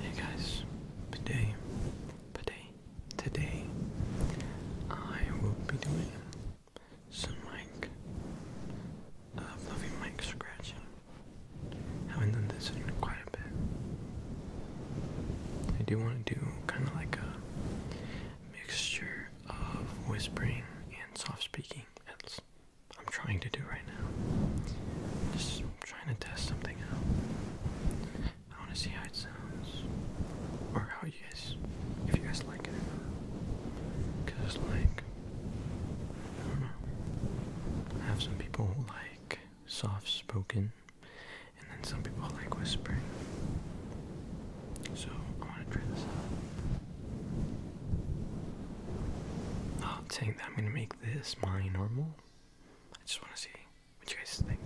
Hey guys, today, today, today, I will be doing some mic, uh, fluffy mic scratching. have done this quite a bit. I do want to do kind of like a mixture of whispering and soft speaking at I'm trying to do right now. Just trying to test something out. I want to see how it sounds, or how you guys, if you guys like it or not. Cause like, I don't know. I have some people like soft-spoken, and then some people like whispering. So I want to try this out. Not think that I'm gonna make this my normal. I just want to see what you guys think.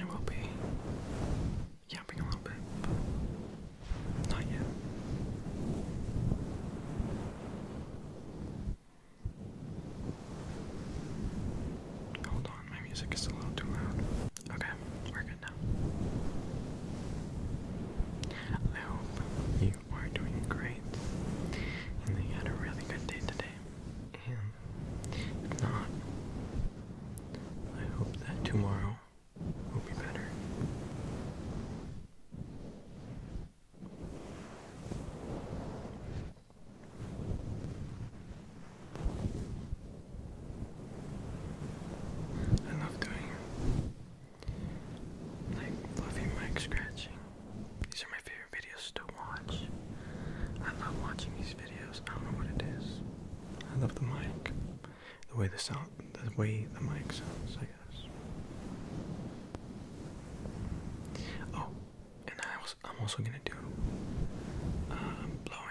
I will be yapping a little bit, but not yet. Hold on, my music is a little too loud. Okay, we're good now. I hope you are doing great and you had a really good day today. if not, I hope that tomorrow will be better. I love doing like fluffy mic scratching. These are my favorite videos to watch. I love watching these videos. I don't know what it is. I love the mic. The way the sound the way the mic sounds, I guess. Oh, and I am also gonna do um, blowing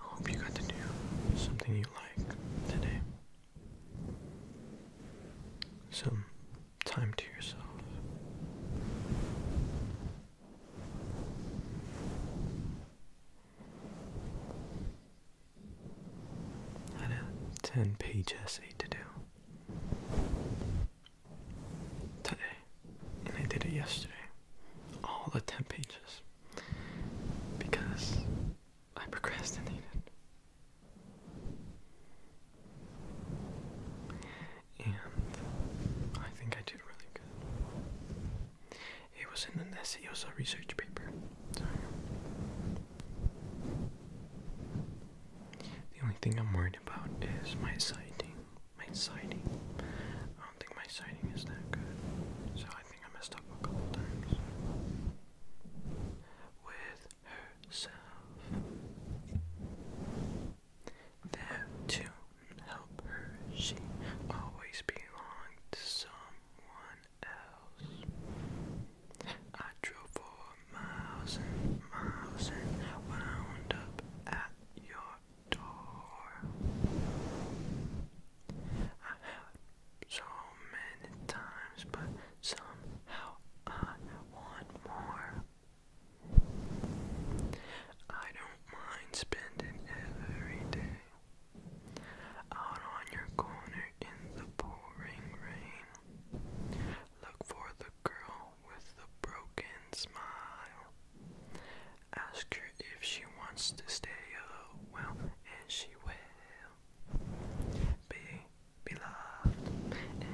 I hope you got to do something you like today some time to yourself. I had a 10 page essay to do today, and I did it yesterday. All the 10 pages because I procrastinated. And I think I did really good. It was in an essay, it was a research paper. Sorry. The only thing I'm worried about is my sighting. My sighting. I don't think my sighting is that good. So I think I messed up a couple times with herself. There to help her, she always belonged to someone else. I drove for miles and miles and wound up at your door so many times, but somehow I want more. I don't mind spending every day out on your corner in the pouring rain. Look for the girl with the broken smile. Ask her if she wants to stay a oh, while, and she will. Be be loved,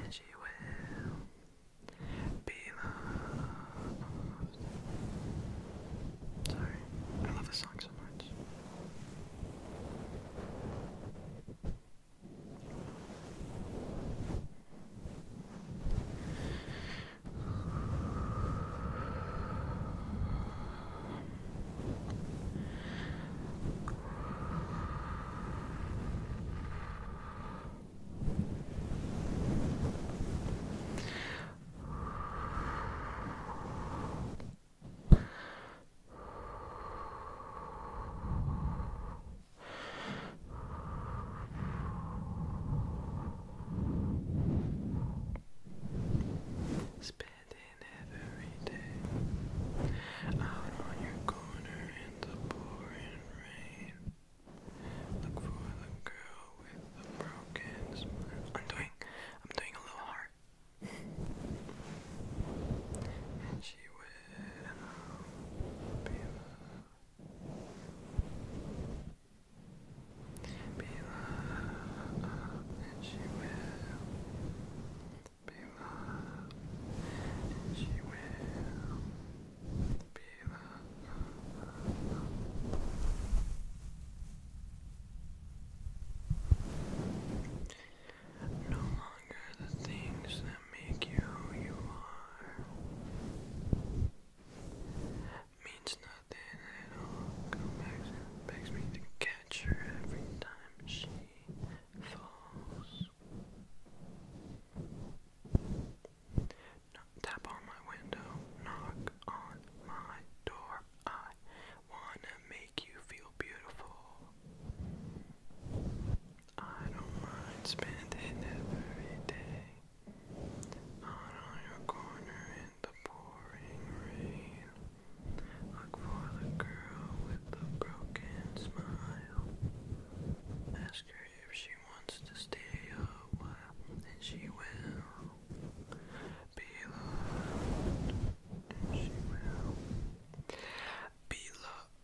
and she will be loved. Sorry, I love the song so much. Spit in every day, out on your corner in the pouring rain. Look for the girl with the broken smile. I'm doing, I'm doing a little heart. and she will be loved. Be loved. And she will be loved, she will be loved. No longer the things that make you who you are means nothing at all. makes me to catch her every time she falls. Tap on my window, knock on my door. I wanna make you feel beautiful. I don't mind spending every day out on your corner in the pouring rain. Look for the girl with the broken smile. Ask her if she wants to stay a while, and she will be loved. she will be loved.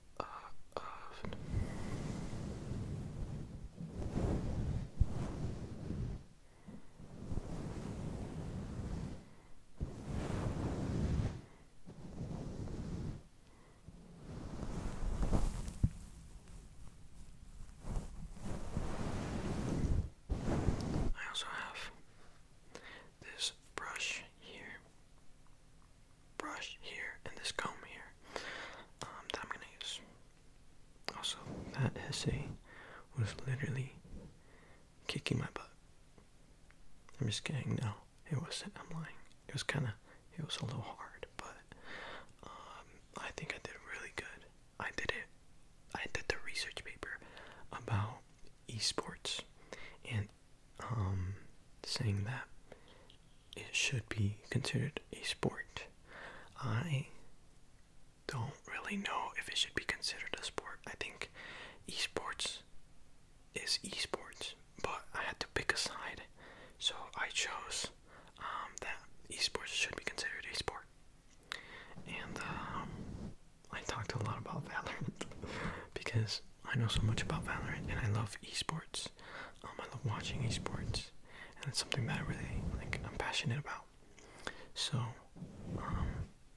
I also have this brush here, brush here, and this comb here um, that I'm gonna use. Also, that essay was literally kicking my butt. I'm just kidding. No, it wasn't. I'm lying. It was kind of, it was a little hard, but um, I think I did really good. I did it. I did the research paper about esports and um, saying that it should be considered a sport. I don't really know if it should be considered a sport. I think esports is esports, but I had to pick a side, so I chose um, that esports should be considered a sport. And um, I talked a lot about Valorant because I know so much about Valorant and I love esports. Um, I love watching esports, and it's something that I really like. I'm passionate about. So,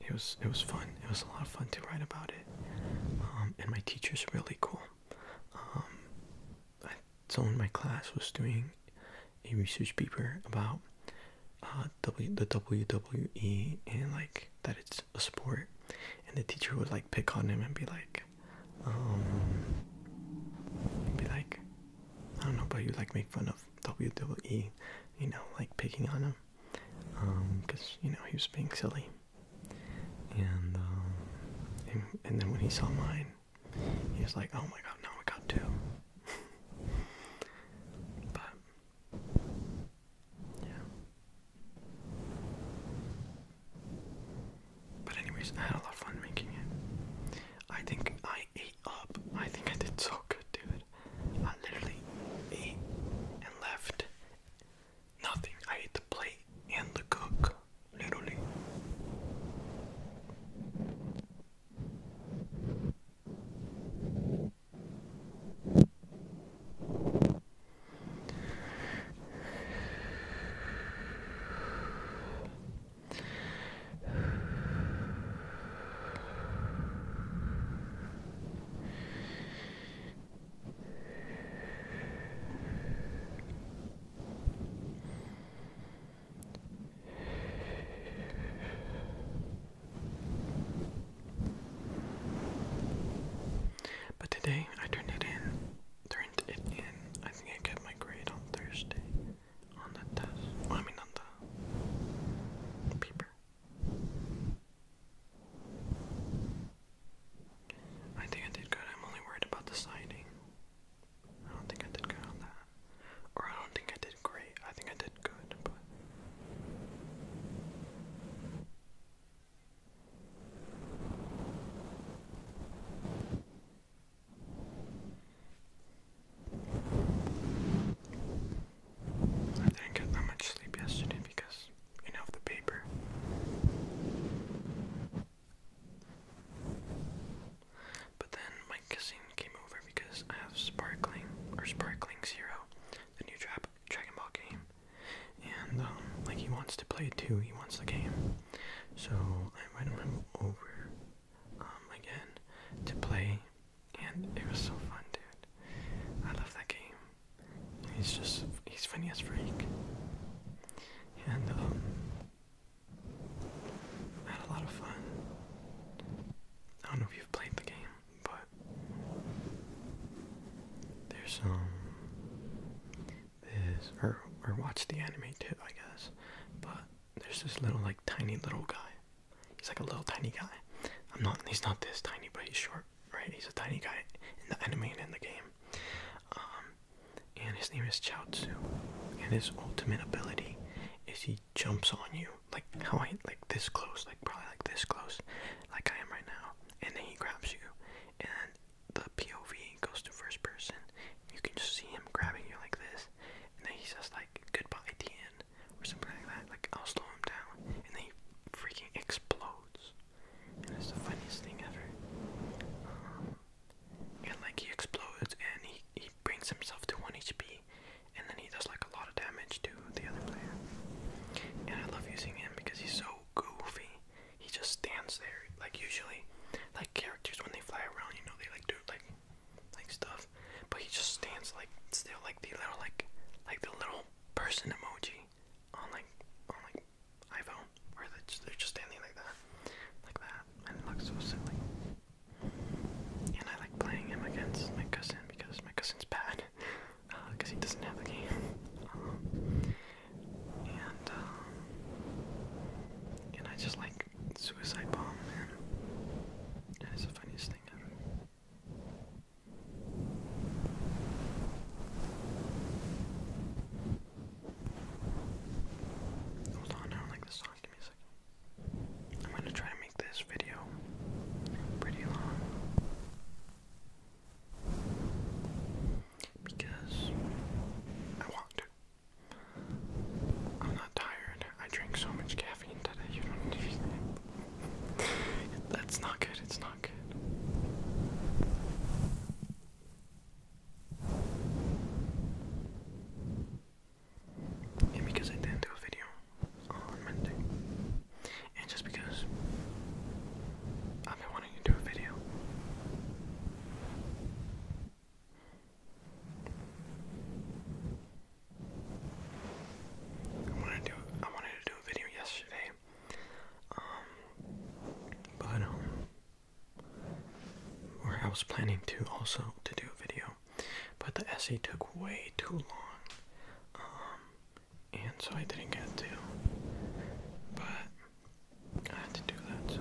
it was it was fun. It was a lot of fun to write about it, um, and my teacher's really cool. Um, I, told my class was doing a research paper about uh, w, the WWE and like that it's a sport, and the teacher would like pick on him and be like, um, be like, I don't know, but you like make fun of WWE, you know, like picking on him because um, you know he was being silly. Um, and and, then when he saw mine, he was like, "Oh my God, now I got two." but yeah. But anyways, I had a lot of fun making it. I think I ate up. I think I did so good, dude. I literally ate and left nothing. I eat the plate and the cook, literally. But today I turned it in. Turned it in. I think I got my grade on Thursday on the test. I mean on the paper. I think I did good. I'm only worried about the siding. I don't think I did good on that. Or I don't think I did great. I think I did good, but. I didn't get that much sleep yesterday because and of the paper. But then my kissing came over because I have Sparkling or Sparkling Zero, the new dra Dragon Ball game, and um, like he wants to play it too. He wants the game, so I invited him over um, again to play, and it was so fun, dude. I love that game. He's just he's Phineas Freak. And um had a lot of fun. I don't know if you've played the game, but there's um this or or watch the anime too, I guess. But there's this little like tiny little guy. He's like a little tiny guy. I'm not he's not this tiny, but he's short right? He's a tiny guy in the anime and in the game. Um, and his name is Chaozu, and his ultimate ability is he jumps on you, like how I like this close, like probably like this close, like I am right now, and then he grabs you, and the POV goes to first person. You can just see him grabbing you like this, and then he says like goodbye, the end, or something like that. Like I'll slow him down, and then he freaking explodes and it's the funniest thing ever. and like he explodes and he, he brings himself to 1 HP and then he does like a lot of damage to the other player. And I love using him because he's so goofy. He just stands there. Like usually like characters when they fly around, you know, they like do like like stuff. But he just stands like still like the little like like the little person emoji on like on like iPhone where they are just standing like that, like that, and it so silly. And I like playing him against my cousin because my cousin's bad, because uh, he doesn't have the game. Um, and um, and I just like suicide bomb him. That is the funniest thing ever. Hold on, I like this song. Give me a second. I'm gonna try to make this video pretty long because I want to. I'm not tired. I drank so much caffeine today. You don't need That's not good. It's not not And because I didn't do a video on Monday, and just because I've been wanting to do a video, I wanted to do a video yesterday, um, but um, or I was planning to also to do a video, but the essay took way too long, um, and so I didn't get to. But I had to do that. So.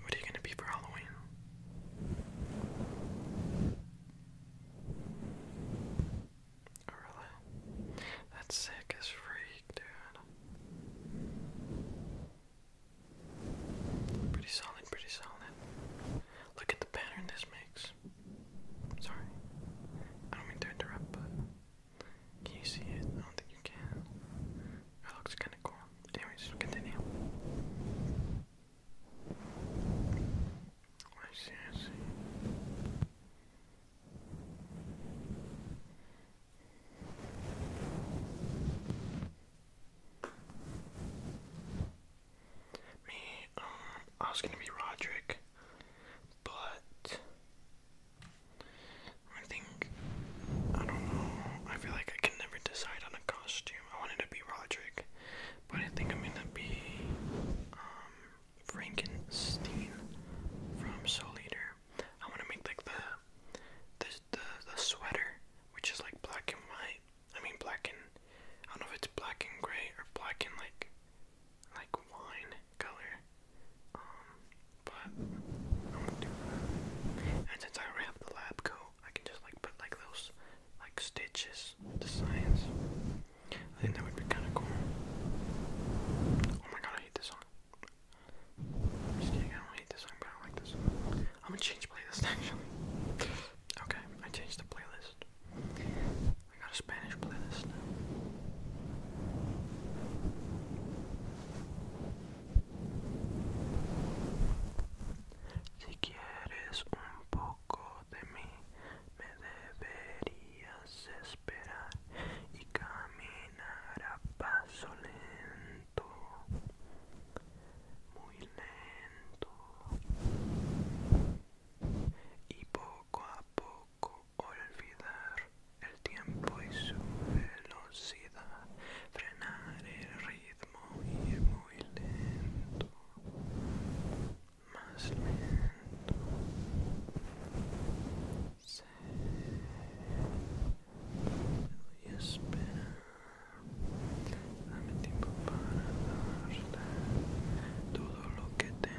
What are you going to be for Halloween? Oh really? That's sick as freak, dude. Pretty solid, pretty solid. Look at the pattern this makes. Sorry. I don't mean to interrupt, but can you see it? I don't think you can. It looks kinda cool. Anyways, continue. I see, I see. Me, um, I was gonna be Roderick, but I think I don't know. I feel like I can never decide on a costume. I wanted to be Roderick, but I think I'm gonna be um Frankenstein from Soul Eater. I want to make like the, the the sweater, which is like black and white. I mean black and I don't know if it's black and gray or black and like like wine color. Um, but I'm to do that. And since I already have the lab coat, I can just like put like those like stitches, designs. I think that would be kind of cool. Oh my god, I hate this song. am just kidding, I don't hate this song, but I like this song. I'm gonna change playlist actually. Okay, I changed the playlist. I got a Spanish playlist now. Si quieres un poco de mí, me deberías y caminar a paso lento, muy lento y poco a poco olvidar el tiempo y su velocidad, frenar el ritmo y ir muy lento, más lento a esperar Dame tiempo para dar todo lo que tengo.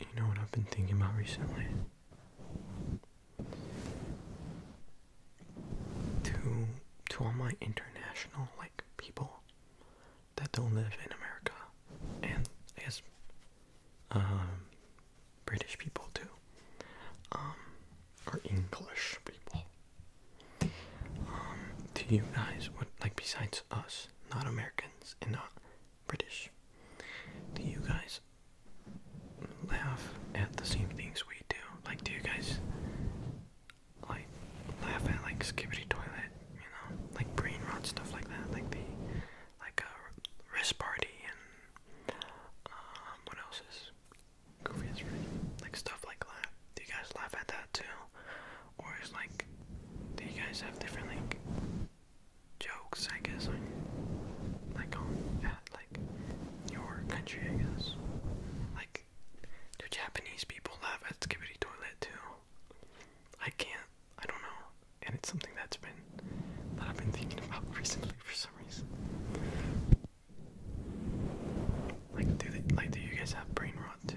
You know what I've been thinking about recently? To to all my international like people that don't live in America and I guess um, British people too. Um, are English people. Um, do you guys, what, like besides us, not Americans and not British, do you guys laugh at the same things we do? Like, do you guys like laugh at like skibbity toilet, you know, like brain rot stuff like that, like the like wrist uh, party and um, what else is like stuff like that. Do you guys laugh at that too? Or is like, do you guys have different like jokes? I guess on like on like your country. I guess like do Japanese people laugh at Skibbity Toilet too? I can't. I don't know. And it's something that's been that I've been thinking about recently for some reason. Like, do they, like, do you guys have brain rot too?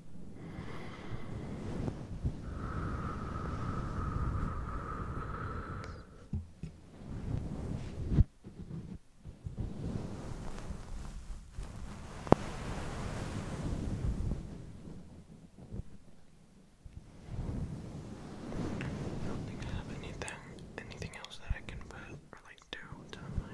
I don't think I have anything anything else that I can put or like do to my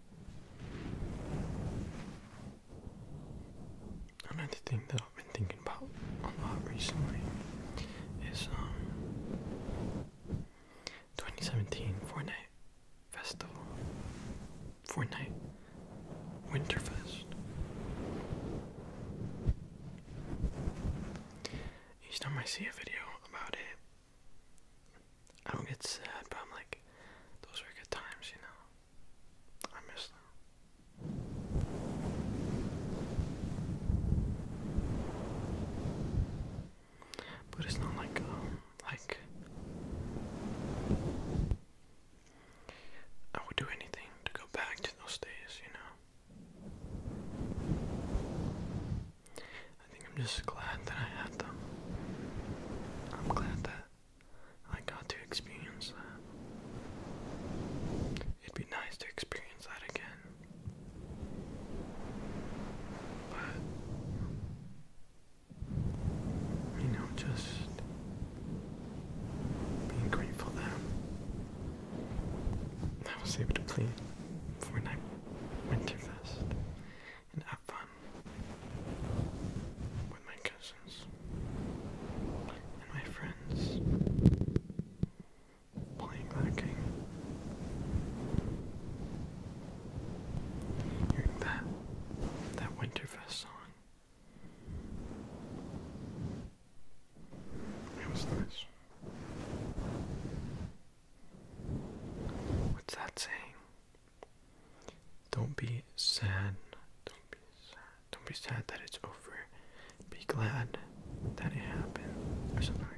Another thing that I've been thinking about a lot recently is um 2017 Fortnite Festival. Fortnite Winterfest. Each time I see a video about it, I don't get sad, but I'm like, those were good times, you know. I miss them. But it's not like um like I would do anything to go back to those days, you know. I think I'm just glad that I had them. I'm glad that I got to experience that. It'd be nice to experience that again. But, you know, just being grateful that I was able to play Fortnite Winterfest and have fun with my cousins and my friends playing that game. Hearing that that Winterfest song. It was nice. What's that saying? Don't be sad. Don't be sad. Don't be sad that it's over. Be glad that it happened. Or something like that.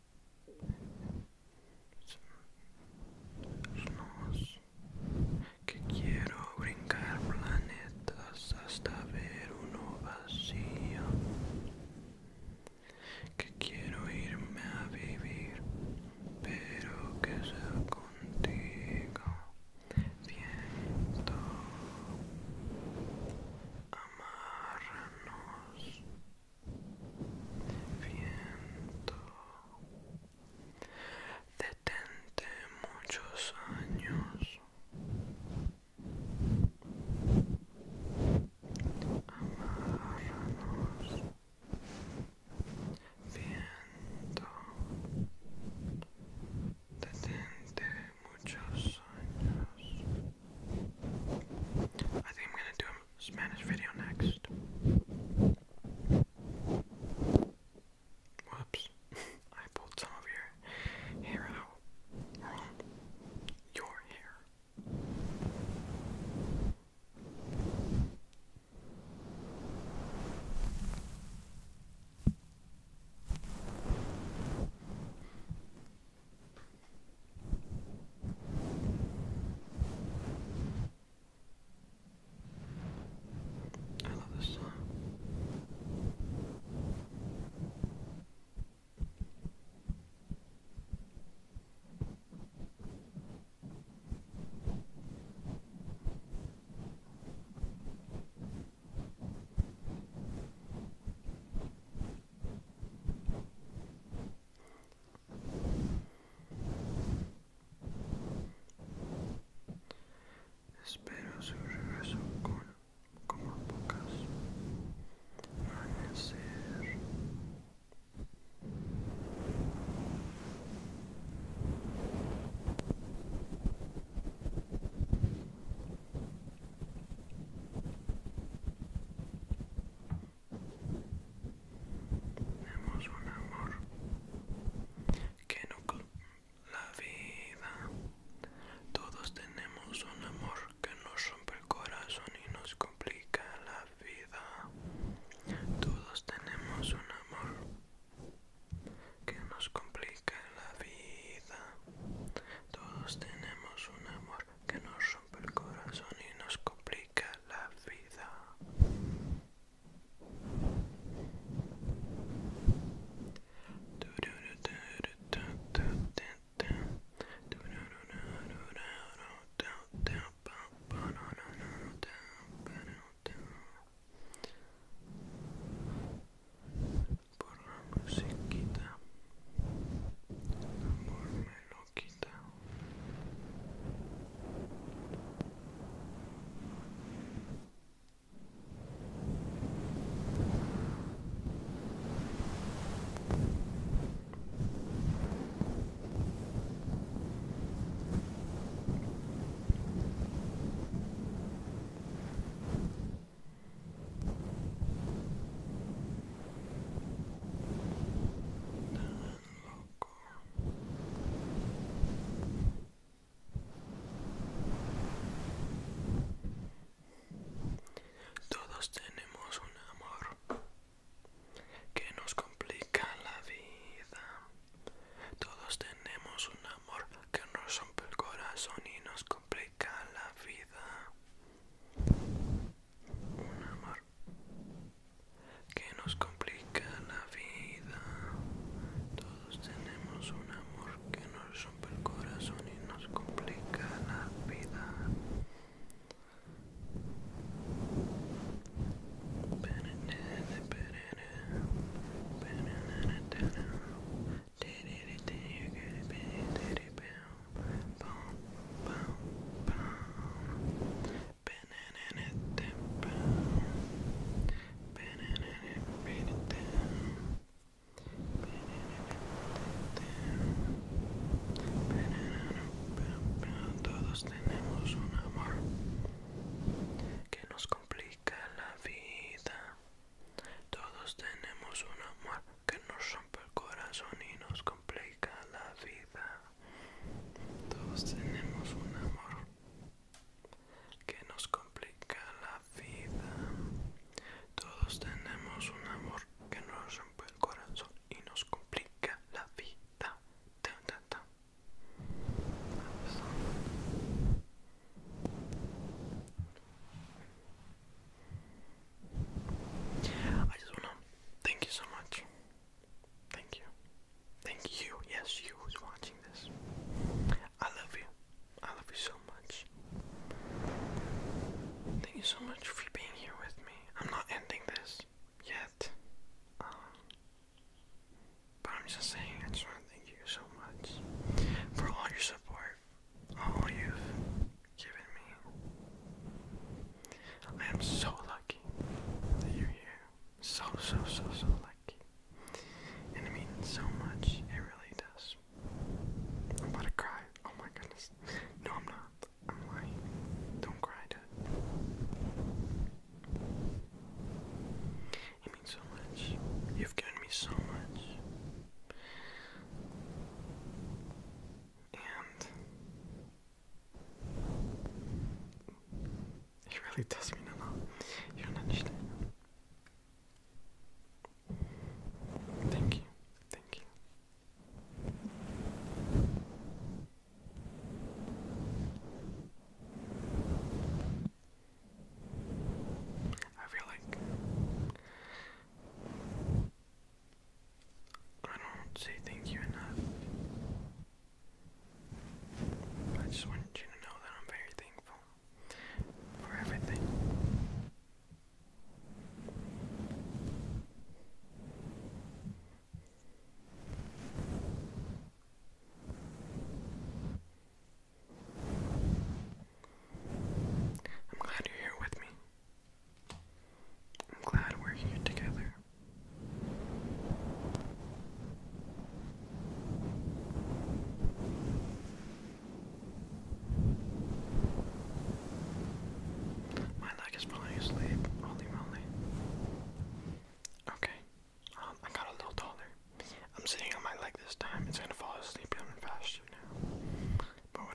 que quiero brincar planetas hasta ver uno vacío, que quiero irme a vivir, pero que sea contigo, viento amarnos viento detente muchos años amarnos viento detente muchos años I think I'm gonna do a Spanish video next. Whoops. I pulled some of your hair out. Your hair. I love this song. Espero su regreso con como pocas tenemos un amor que no la vida. Todos tenemos un amor que nos rompe el corazón y nos complica la vida. Todos tenemos un amor que nos complica la vida. Todos tenemos un amor que nos rompe el corazón y nos complica la vida. Por la musiquita, amor me lock it down. Now Todos tenemos un amor que nos complica la vida. Todos tenemos un amor que nos rompe el corazón y nos complica la vida un amor que nos complica la vida. Todos tenemos un amor que nos rompe el corazón y nos complica la vida todos tenemos un amor que nos complica la vida. Todos tenemos un amor que nos rompe el corazón y nos complica la vida. Todos tenemos un amor que nos complica la vida. Todos tenemos un amor que nos rompe el corazón y nos complica la vida. I just wanna thank you so much. Thank you. Thank you. Yes, you who's watching this. I love you. I love you so much. Thank you so much for being here with me. I'm not ending this yet. Um, but I'm just saying, I just want to thank you so much for all your support, all you given me. I am so lucky that you're here. So, so, so, so lucky. And it means so much. It really does. I'm about to cry. Oh my goodness. No, I'm not. I'm lying. Don't cry, Dad. It means so much. You've given me so much. He really does mean no lot. You don't understand. Thank you. Thank you. I feel like I don't say thank you enough. I just want you to know that I'm very thankful for everything. I'm glad you're here with me. I'm glad we're here together. My leg is falling asleep. Holy moly. Okay. Um, I got a little taller. I'm sitting on my leg this time. It's gonna fall asleep even faster now but whatever.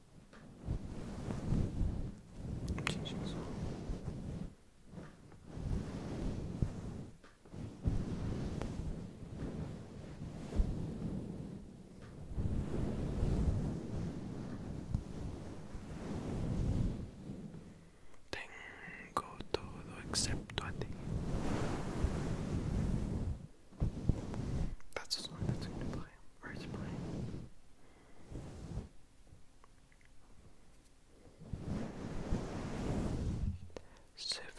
Jesus. Tengo todo excepto a ti. That's a song that's going to play, or it's playing. Seven.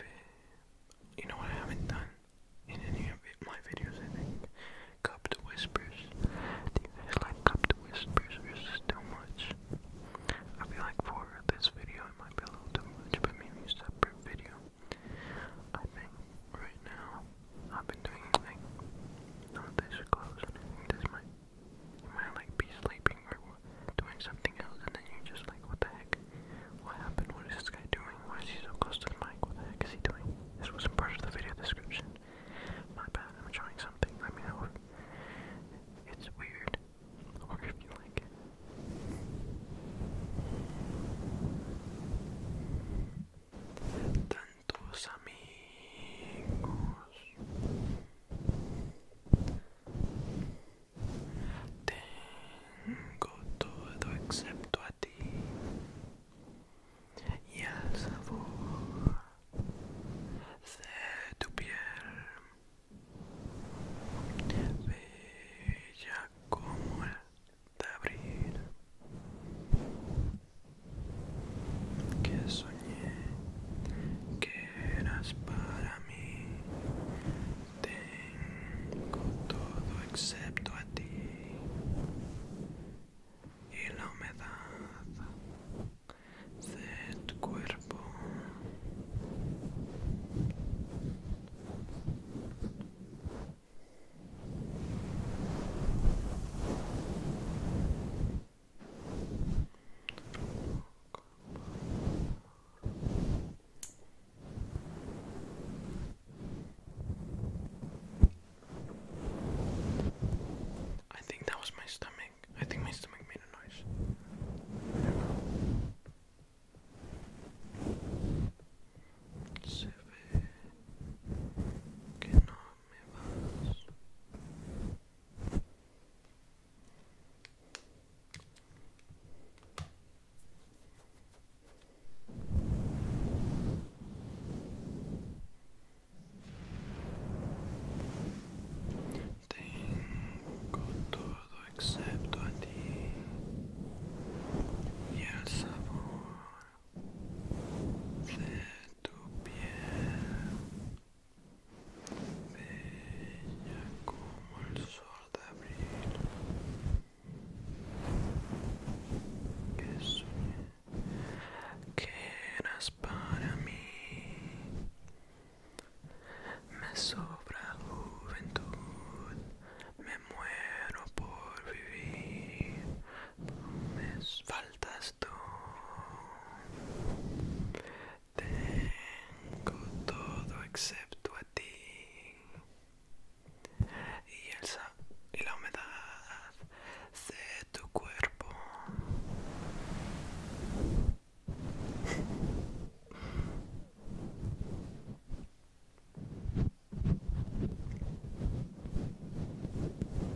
You know what I haven't done in any of my videos, I think. Cupped whispers. Do you guys like cupped whispers too much? I feel like for this video it might be a little too much, but maybe separate video. I think right now I've been doing anything. Not this close This might, might like be sleeping or doing something else, and then you just like, what the heck? What happened? What is this guy doing? Why is he so close to the mic? What the heck is he doing? This wasn't part of the video description. My bad. I'm trying something. Let me know it's weird or if you like tantos amigos tengo todo excepto a ti y al sabor de tu piel bella como abrir que soñé que eras para mí tengo todo excepto a ti y la humedad de tu cuerpo I think that was my stomach. I think my stomach made a noise. Seven cannot amebas. Tengo todo excepto a ti y el sabor tu piel bella como el sol de abril que soñé que eras para mí me sobra juventud me muero por vivir me faltas tú. Tengo todo excepto a ti. Y, el sa y la humedad de tu cuerpo.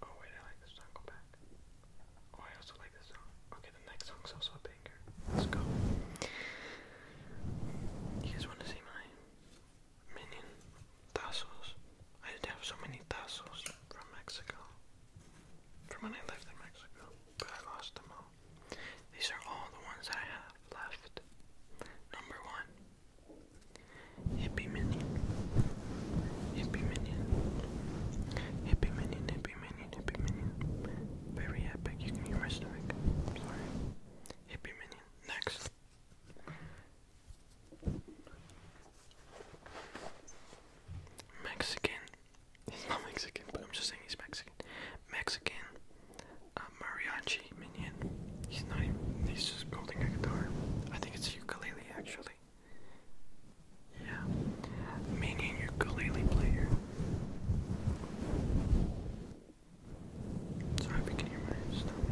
Oh wait, I like this song. Go back. Oh, I also like this song. Okay, the next song's also a banger. Let's go. You guys want to see mine? meaning tassels. I did have so many tassels from Mexico, from when I lived in Mexico, but I lost them all. These are all the ones that I have left. Number one, Hippie Minion. Hippie Minion. Hippie Minion, Hippie Minion, Hippie Minion. Very epic, you can hear my stomach. I'm sorry. Hippie Minion. Next, Mexican. He's not Mexican, but I'm just saying he's Mexican. Mexican. Uh, mariachi minion. He's not He's just holding a guitar. I think it's ukulele actually. Yeah. Minion ukulele player. Sorry if you can hear my stomach.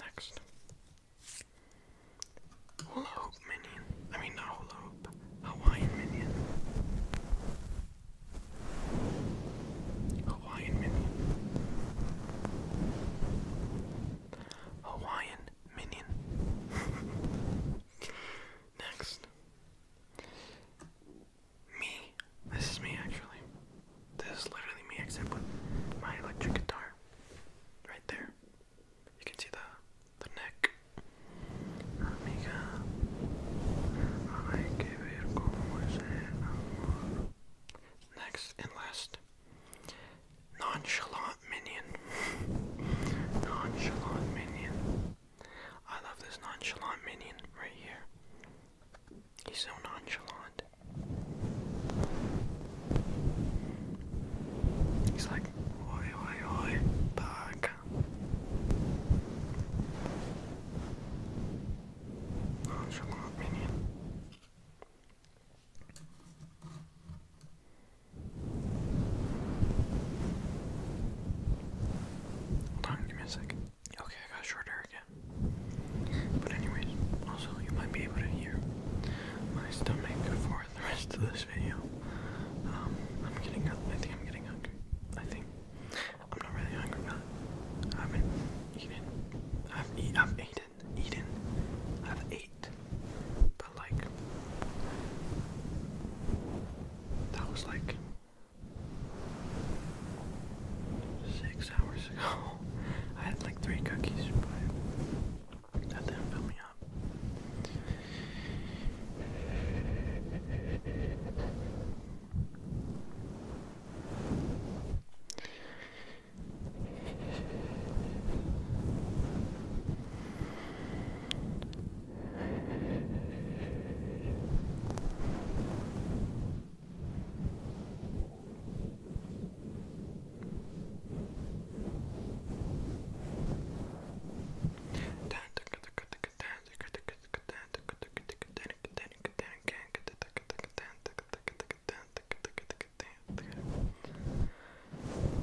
Next. Hula minion. I mean, not Hawaiian minion. Hawaiian minion. Hawaiian minion. Next. Me. This is me actually. This is literally me except with my electric guitar. Right there. You can see the the neck. Amiga. Hay que ver cómo es el Next and last. Nonchalant Minion. Nonchalant Minion. I love this nonchalant minion right here. He's so nonchalant. He's like, oi, oi, oi, bug. Nonchalant minion. Hold on, give me a second. Okay, I got shorter again. But anyways, also you might be able to hear my stomach for the rest of this video. Um, I'm getting up. I think I'm getting hungry. I think I'm not really hungry, but I haven't eaten. I've eaten. I've Eaten. I've ate like that was like six hours ago. I had like three cookies, but that didn't fill me up.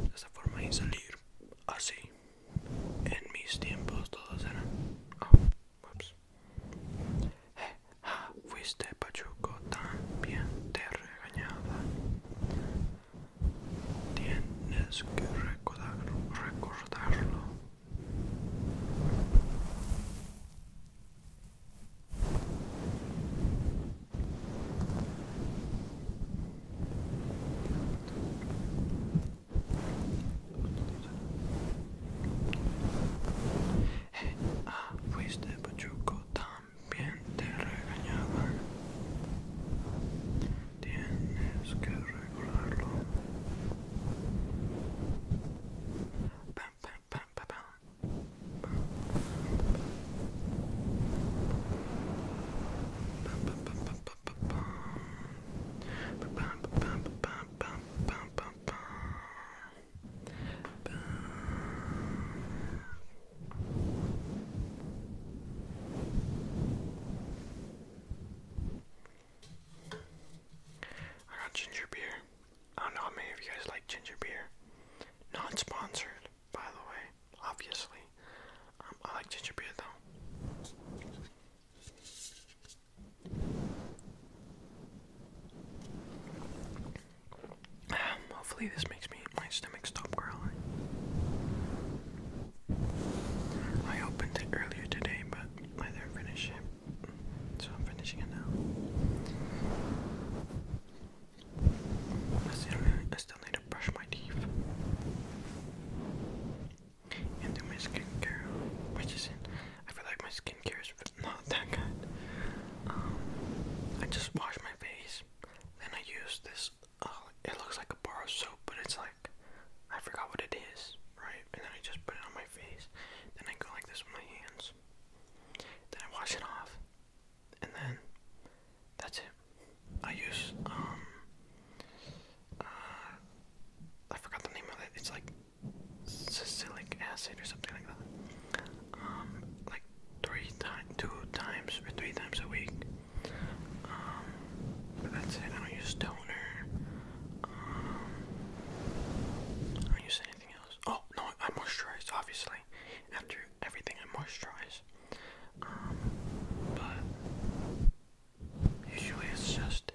De esa forma y salir así. En mis tiempos todos eran. Oh, eh, fuiste pachuco también te regañaba. Tienes que recordarlo. recordarlo. Ah, fuiste pachuco, también te regañaban. Tienes que regularlo. I got ginger beer. I don't know how many of you guys like ginger beer. Not sponsored, by the way, obviously. Um, I like ginger beer though. hopefully this makes me my stomach stop growling. I opened it earlier today, but I didn't finish it, so I'm finishing it now. I still need to brush my teeth and do my skincare, which isn't. I feel like my skincare is not that good. Um, I just wash my face, then I use this. Uh, it looks like a bar of soap, but it's like I forgot what it is, right? And then I just put it on my face. Then I go like this with my hands. Then I wash it off, and then that's it. I use um, uh, I forgot the name of it. It's like salicylic acid or something like that. Um, like three times, two times or three times a week. Um, but that's it. I don't use toner. Um, I don't use anything else. Oh no, I moisturize obviously. After everything, I moisturize. but Usually it's just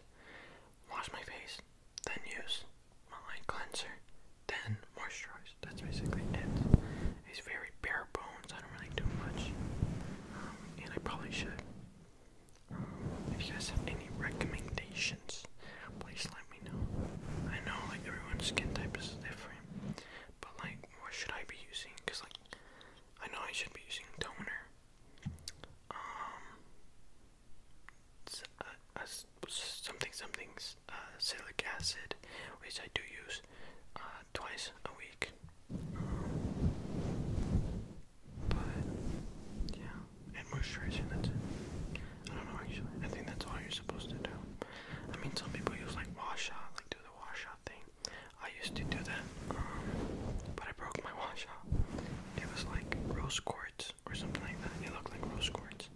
wash my face, then use my cleanser, then moisturize. That's basically it. It's very bare bones. I don't really do much, um, and I probably should. Um, if you guys have any recommendations, please let me know. I know like everyone's skin type is different, but like what should I be using? Cause like I know I should be using toner, um, uh, something something's uh, salicylic acid, which I do use uh, twice a week. but yeah, moisturizing. That's I don't know actually. I think that's all you're supposed to do. I mean, some people use like wash out, like do the wash thing. I used to do that, um, but I broke my watch out. It was like rose quartz or something like that. It looked like rose quartz.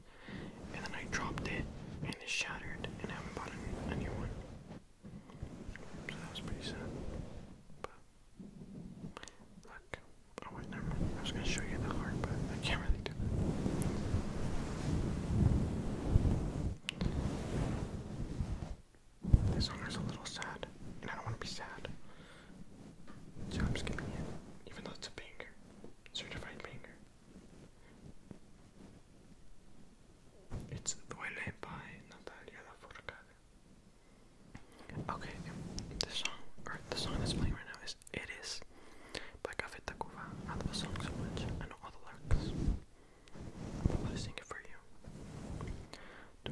And then I dropped it and it shattered and I haven't bought a, new one. So that was pretty sad. But look. Oh, I was gonna show you the heart, but I can't really do that. This song is a little sad, and I don't want to be sad. So I'm skipping it, even though it's a banger. Certified banger. It's Duele by Natalia Lafourcade. Okay, the song, or the song that's playing right now is It Is by Café Tacuba. I love the song so much, I know all the lyrics. I'm going it for you. It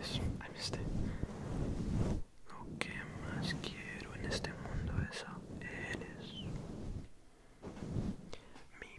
is, I missed it. Lo que más quiero en este mundo es a eres. Mi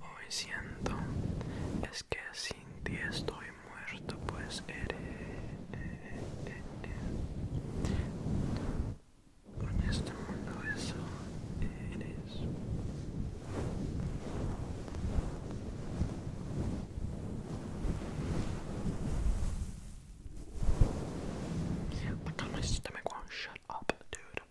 Hoy siento es que sin ti estoy muerto, pues eres con este mundo eso eres. I got my shut up, dude.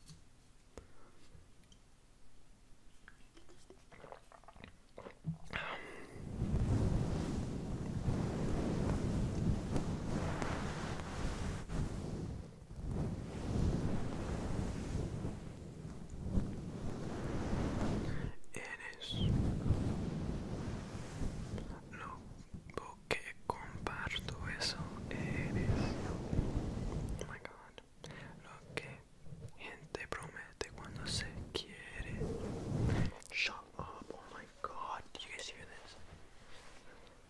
Eres lo que comparto eso eres. Oh my god. Shut up, oh my god, you guys hear this?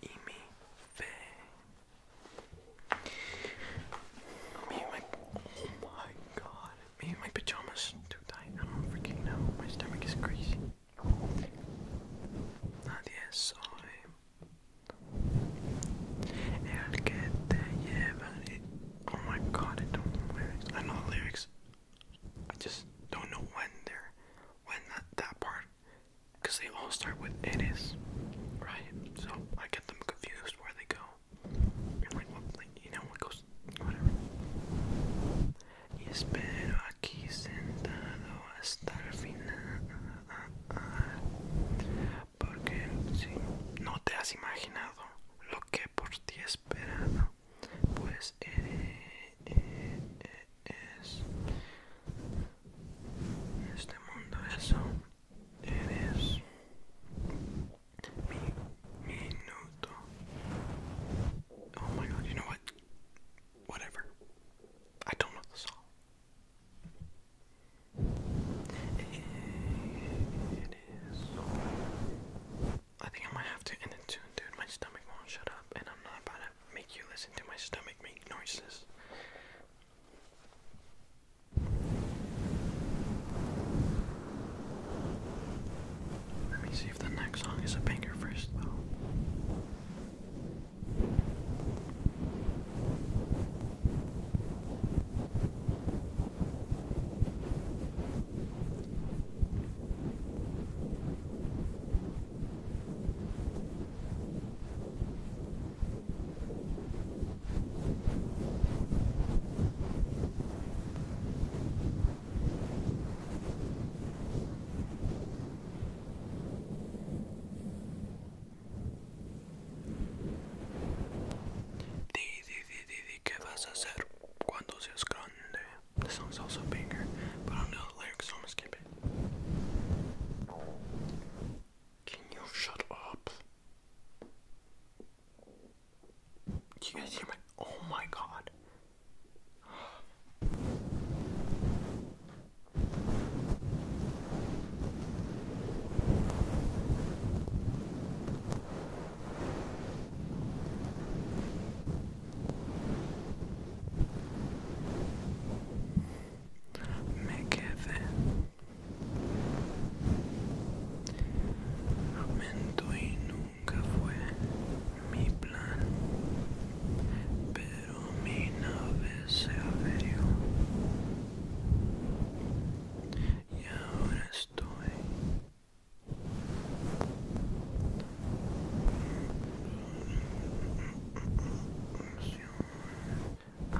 Y mi oh my god, me and my pajamas too tight. I don't freaking know. My stomach is crazy. Nadie soy el que te lleva Oh my god, I don't know the lyrics. I just don't know when they're when that part because they all start with it is right so I get them confused where they go and like what like you know what goes whatever espero aquí sentado hasta el porque si no te has imaginado lo que por ti esperado pues eh, eh, eh, es este mundo eso eres mi minuto. Oh my god, you know what? Whatever. I don't know the song. I think I might have to end it soon, dude. My stomach won't shut up, and I'm not about to make you listen to my stomach make noises. Let me see if the next song is a banger first, though. These ¿Qué vas a also a but I don't know the lyrics, so I'm gonna Can you shut up? Do you guys hear my. Oh my god. Me quedé Aumentó y nunca fue mi plan Pero mi nave se averió y ahora estoy Oh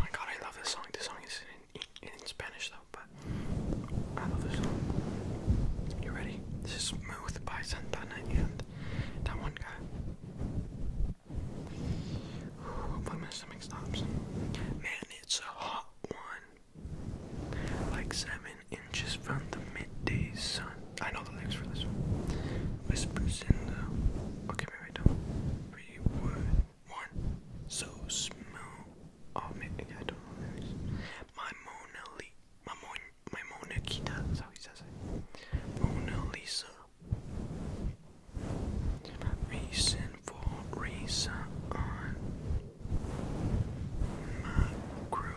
my god, I love this song. This song is in Spanish though. You ready? This is Smooth by Santana that one guy. Ooh, my stomach stops. Man, it's a hot one. Like seven inches from the midday sun. I know the lyrics for this one. Whispers in the. Okay, wait, wait, don't. So smooth. Oh, maybe I don't know the lyrics. My Mona Lisa my Mona Lisa. Reason for reason on my groove.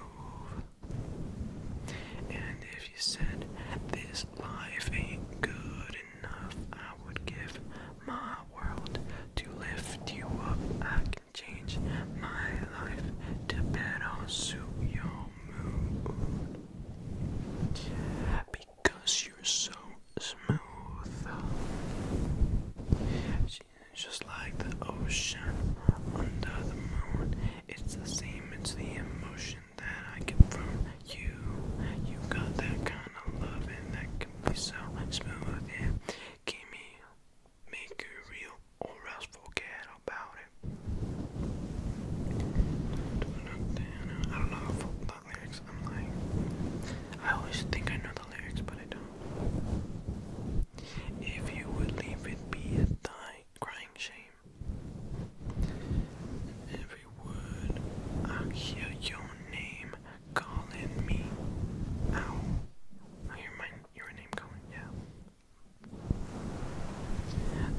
And if you said this life ain't good enough, I would give my world to lift you up change my life to better suit your mood. Because you're so smooth. It's Just like the ocean under the moon, it's the same, it's the emotion that I get from you. You got that kind of love, and that can be so smooth. It me make it real or else forget about it. I don't know how the lyrics, I'm like, I always think I know the lyrics, but I don't. If you would leave it be a die, crying shame. Every word, I hear your name calling me out. I hear my your name going, yeah.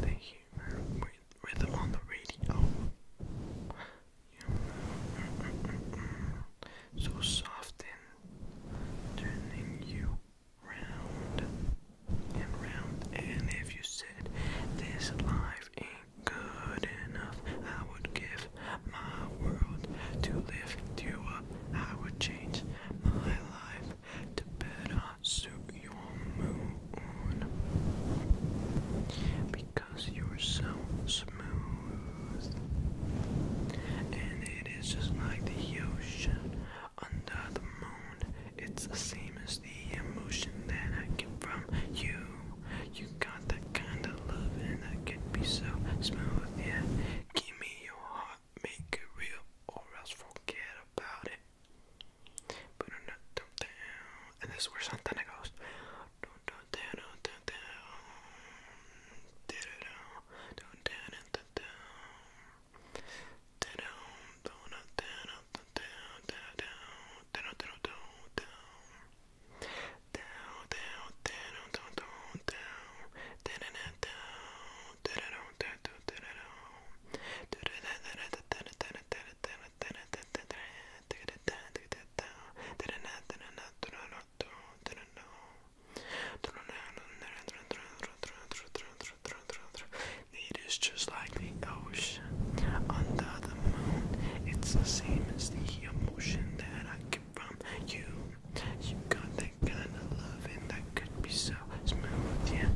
The humor rhythm on the radio. So soft and turning you round and round. And if you said this life ain't good enough, I would give my world to lift you up. I would change my life to better suit your mood because you're so smooth and it is just like the ocean under the moon it's the same as the emotion that I get from you you got that kind of love and that can be so smooth yeah give me your heart make it real or else forget about it. But no, do down. And this is where Santana goes. Don't don't down, don't don't down. Did it down, don't down and don't down. Did down, don't down, down, down, down, down, down, down, down, down. Down, down, down, down, down, down, it is just like the ocean under the moon. It's the same as the emotion that I get from you. You got that kind of loving that could be so smooth, yeah.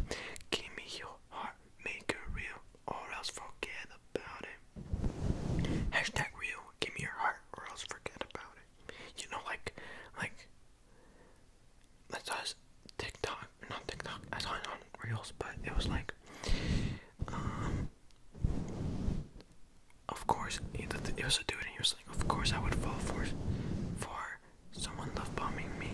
Give me your heart, make it real, or else forget about it. Hashtag real, give me your heart, or else forget about it. You know, like, like, I saw this TikTok, not TikTok, I was on Reels, but it was like, um, of course, it was a dude and he was of course I would fall for for someone love bombing me.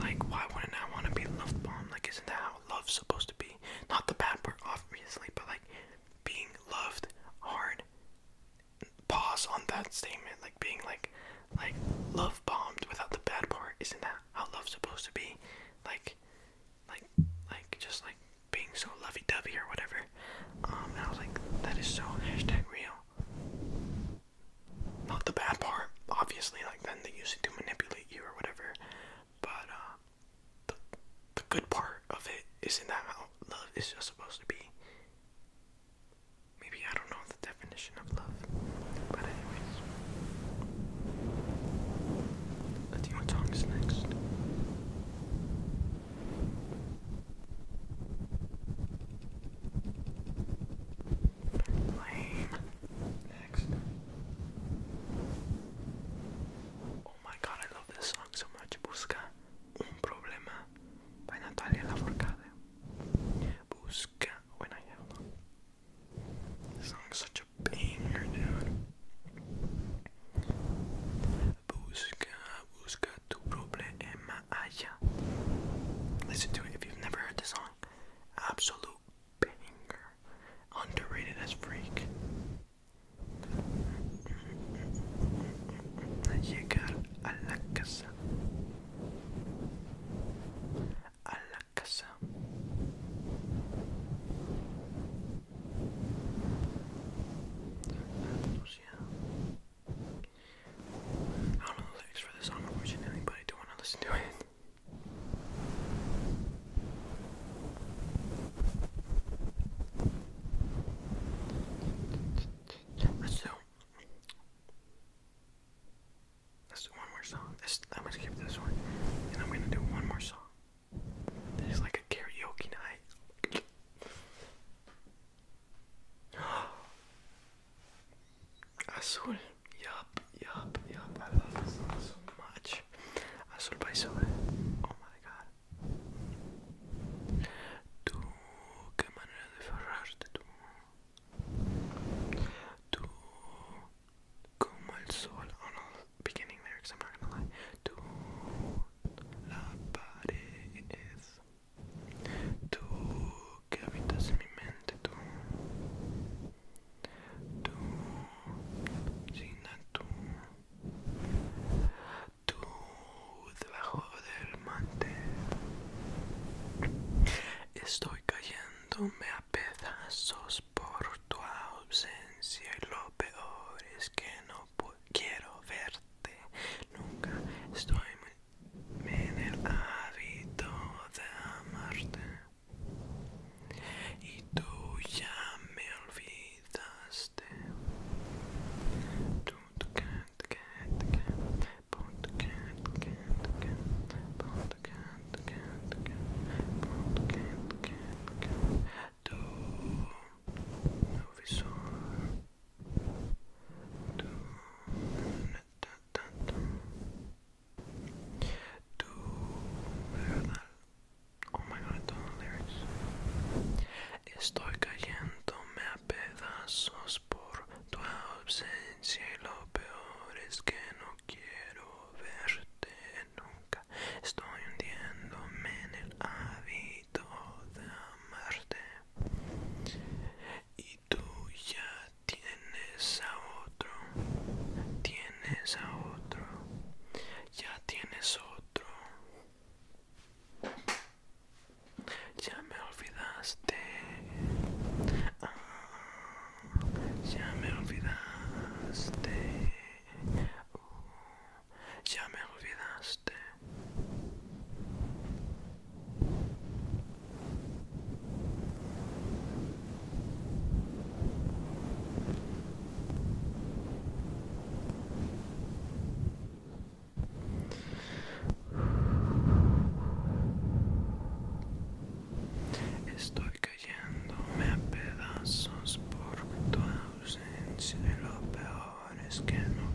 Like, why wouldn't I want to be love bombed? Like, isn't that how love's supposed to be? Not the bad part, obviously, but like being loved hard. Pause on that statement. Like being like, like love bombed without the bad part. Isn't that how love's supposed to be? Like, like, like just like being so lovey-dovey or whatever. Um, I was like, that is so hashtag real. Not the bad part, obviously, like then they use it to manipulate you or whatever. But uh, the the good part of it in that how love is just supposed to be. Maybe I don't know the definition of love. But anyways. Let's see what song next. Next. Oh my god, I love this song so much. Busca un problema by Natalia Lafourcade. Busca when I have one. This song is such a banger, dude. Busca Listen to it if you've never heard the song. Absolute banger. Underrated as freak. A llegar a la casa. A la casa. I don't know the lyrics for this song, unfortunately, but I do want to listen to it. Let's do. Let's do one more song. I'm going this one, and I'm gonna do one more song. This is like a karaoke night. Azul. Yup, yup, yup. I love this so much. Azul by Oh my god. Tú, qué manera de ferrarte tú. Tú, como el sol. Oh beginning lyrics, I'm not gonna lie. Tú, la pared. Tú que habitas en mi mente, tú. Tú, tú. Tú, debajo del mantel. Estoy cayéndome a pedazos por tu ausencia y lo peor es que no quiero verte nunca. Estoy muy en el hábito de amarte y tú ya me olvidaste Tú no visor do verdad, oh my god, todos los lyrics. Estoy cayéndome a pedazos por tu ausencia y lo peor es que no quiero verte nunca. Estoy hundiéndome en el hábito de amarte y tú ya tienes a otro tienes a otro ya tienes otro ya me olvidaste ah, ya me olvidaste uh, ya me olvidaste este, estoy cayéndome a pedazos por tu ausencia lo peor es que no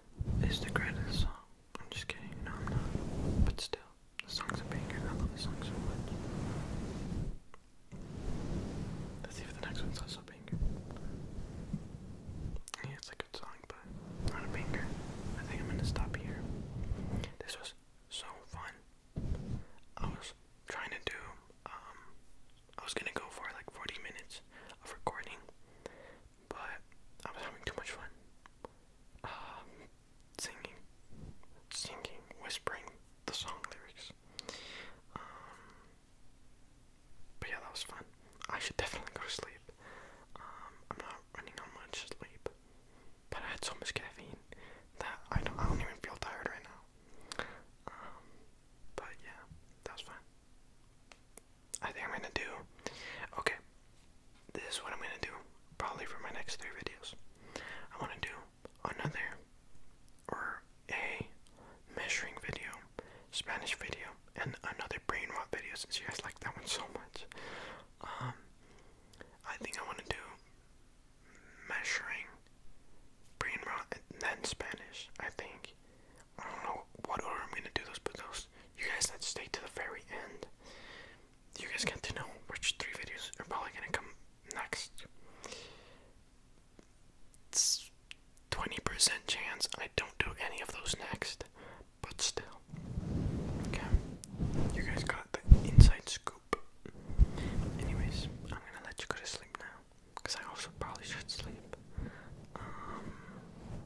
is the greatest song. I'm just kidding, no I'm not. But still, the songs are banger. I love the song so much. Let's see if the next one's also banger. Yeah, it's a good song, but not a banger. I think I'm gonna stop here. This was so fun. I was trying to do um, I was gonna go for like 40 minutes of recording, but I was having too much fun. Um, singing, singing, whispering the song lyrics. Um, but yeah, that was fun. I should definitely go to sleep. Um, I'm not running on much sleep, but I had so much caffeine that I don't, I don't even feel tired right now. Um, but yeah, that was fun. I think I'm gonna do. Okay, this is what I'm gonna do probably for my next three videos. I wanna do another or a measuring video, Spanish video, and another brain rot video since you guys like that one so much. Um, I think I wanna do measuring brain rot and then Spanish, I think. I don't know what order I'm gonna do those, but those you guys that stay to the very end, you guys get to know which three videos are probably gonna come next. 20% chance I don't do any of those next, but still. Okay, you guys got the inside scoop. Anyways, I'm gonna let you go to sleep now. Because I also probably should sleep. Um,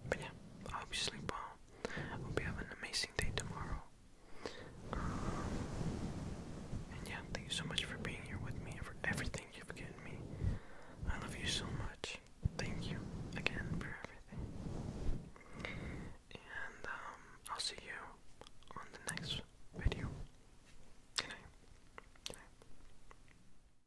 but yeah, I hope you sleep well. I hope you have an amazing day tomorrow. Um, and yeah, thank you so much for being here with me and for everything you've given me. I love you so much. Thank you again for everything. And um, I'll see you on the next video. Good night. Good night.